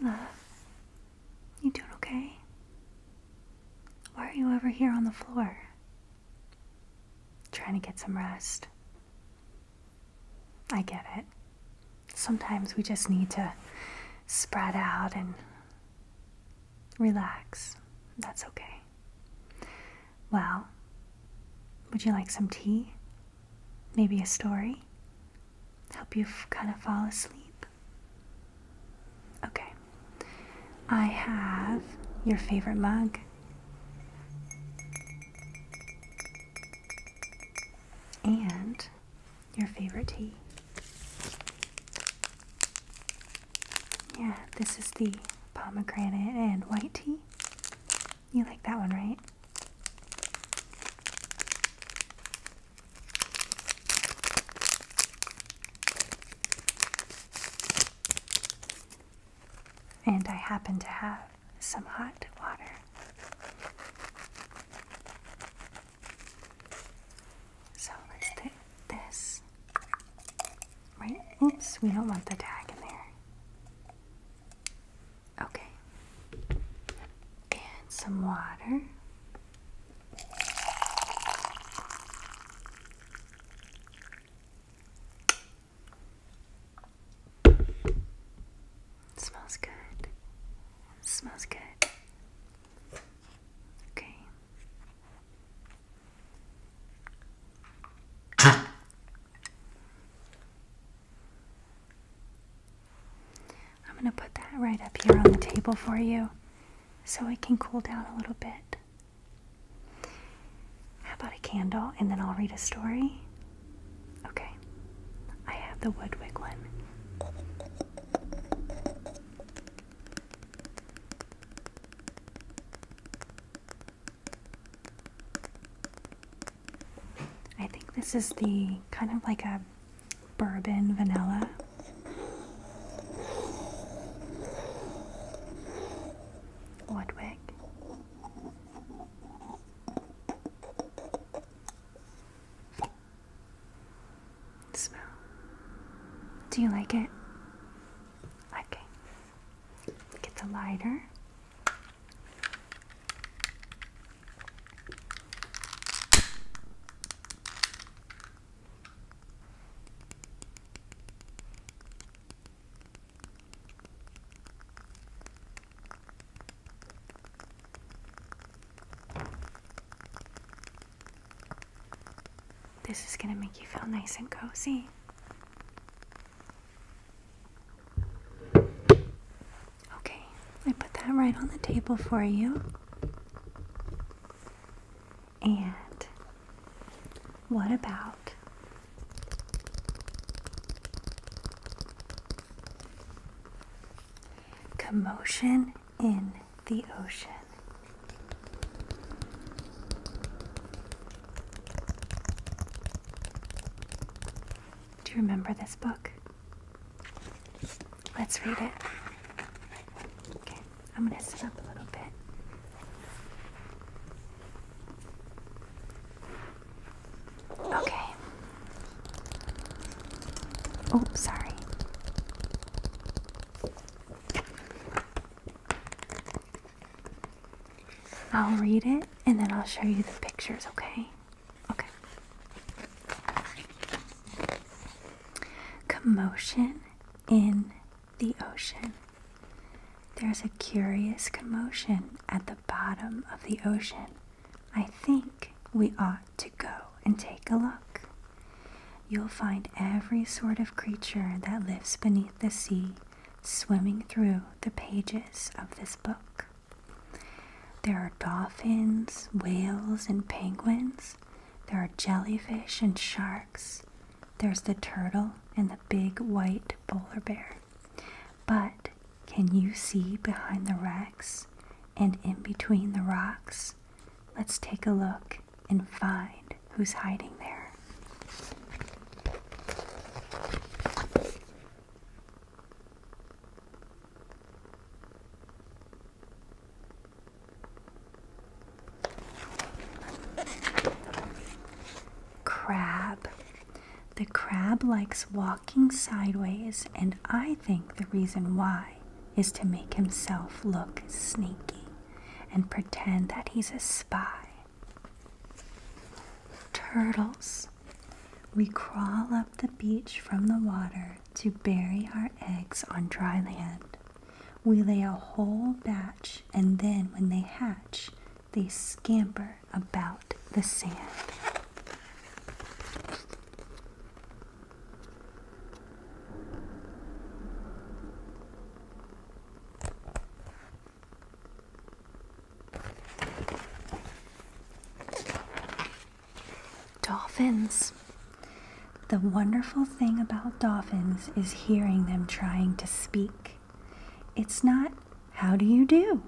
Hey, You doing okay? Why are you over here on the floor? Trying to get some rest. I get it. Sometimes we just need to spread out and relax. That's okay. Well, would you like some tea? Maybe a story? Help you kind of fall asleep? Okay. I have your favorite mug and your favorite tea. Yeah, this is the pomegranate and white tea. You like that one, right? And I happen to have some hot water. So let's take this. Right? Oops, we don't want the tag in there. Okay. And some water. It smells good. It smells good. Okay. I'm going to put that right up here on the table for you so it can cool down a little bit. How about a candle and then I'll read a story? Okay. I have the Woodwick one. I think this is the kind of like a bourbon vanilla. Woodwick. Smell. Do you like it? Okay. Get the lighter. This is going to make you feel nice and cozy. Okay, I put that right on the table for you. And what about commotion in the ocean? Do you remember this book? Let's read it okay. I'm gonna sit up a little bit. Okay. Oh, sorry. I'll read it and then I'll show you the pictures, okay? Okay. Commotion in the ocean. There's a curious commotion at the bottom of the ocean. I think we ought to go and take a look. You'll find every sort of creature that lives beneath the sea swimming through the pages of this book. There are dolphins, whales, and penguins there are jellyfish and sharks. There's the turtle and the big white polar bear. But can you see behind the wrecks and in between the rocks? Let's take a look and find who's hiding there. Crab. The crab likes walking sideways, and I think the reason why is to make himself look sneaky and pretend that he's a spy. Turtles. We crawl up the beach from the water to bury our eggs on dry land. We lay a whole batch, and then when they hatch, they scamper about the sand. Dolphins. The wonderful thing about dolphins is hearing them trying to speak. It's not, how do you do?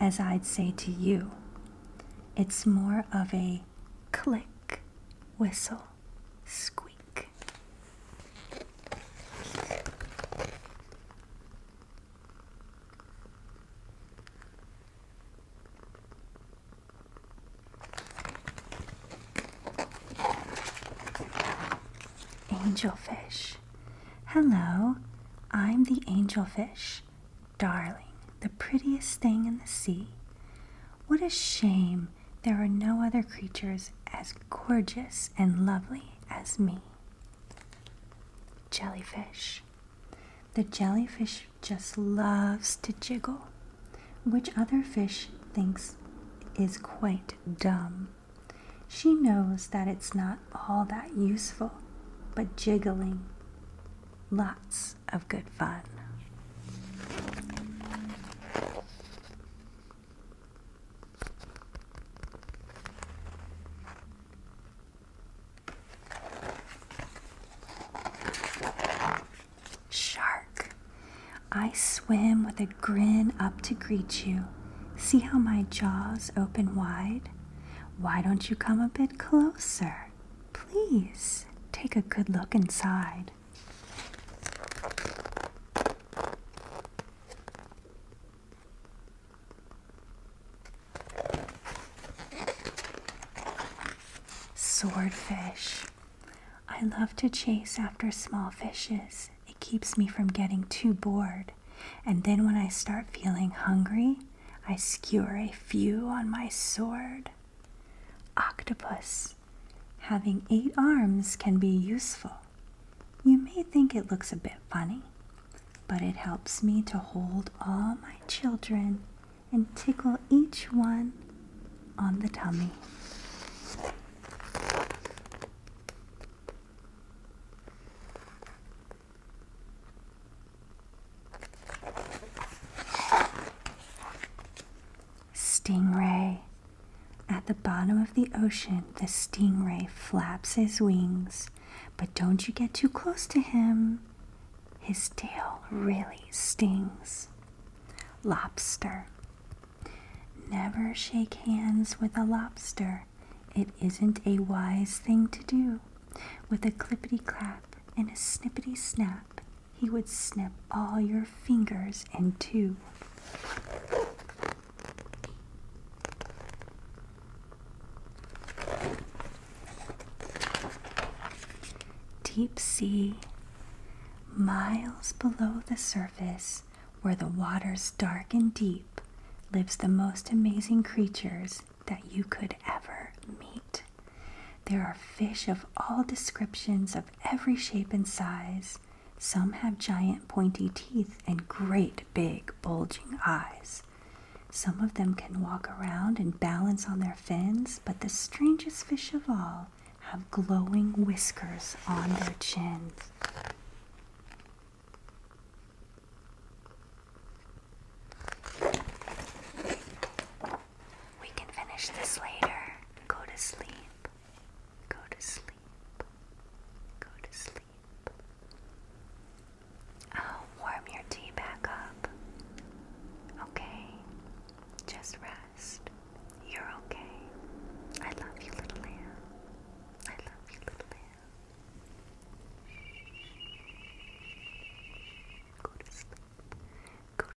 As I'd say to you. It's more of a click, whistle, squeak. Angelfish. Hello, I'm the angelfish. Darling, the prettiest thing in the sea. What a shame there are no other creatures as gorgeous and lovely as me. Jellyfish. The jellyfish just loves to jiggle, which other fish thinks is quite dumb. She knows that it's not all that useful, but jiggling, lots of good fun. Shark, I swim with a grin up to greet you. See how my jaws open wide? Why don't you come a bit closer? Please take a good look inside. Swordfish. I love to chase after small fishes. It keeps me from getting too bored. And then when I start feeling hungry, I skewer a few on my sword. Octopus. Having eight arms can be useful. You may think it looks a bit funny, but it helps me to hold all my children and tickle each one on the tummy. Stingray at the bottom of the ocean, the stingray flaps his wings, but don't you get too close to him. His tail really stings. Lobster. Never shake hands with a lobster. It isn't a wise thing to do. With a clippity clap and a snippity snap, he would snip all your fingers in two. Deep sea, miles below the surface, where the water's dark and deep, lives the most amazing creatures that you could ever meet. There are fish of all descriptions, of every shape and size, some have giant pointy teeth and great big bulging eyes. Some of them can walk around and balance on their fins, but the strangest fish of all have glowing whiskers on their chins. We can finish this later. Go to sleep. Go to sleep. Go to sleep. I'll oh, warm your tea back up. Okay. Just rest. You're okay. I love you, little lamb. I love you, little lamb. Go to sleep. Go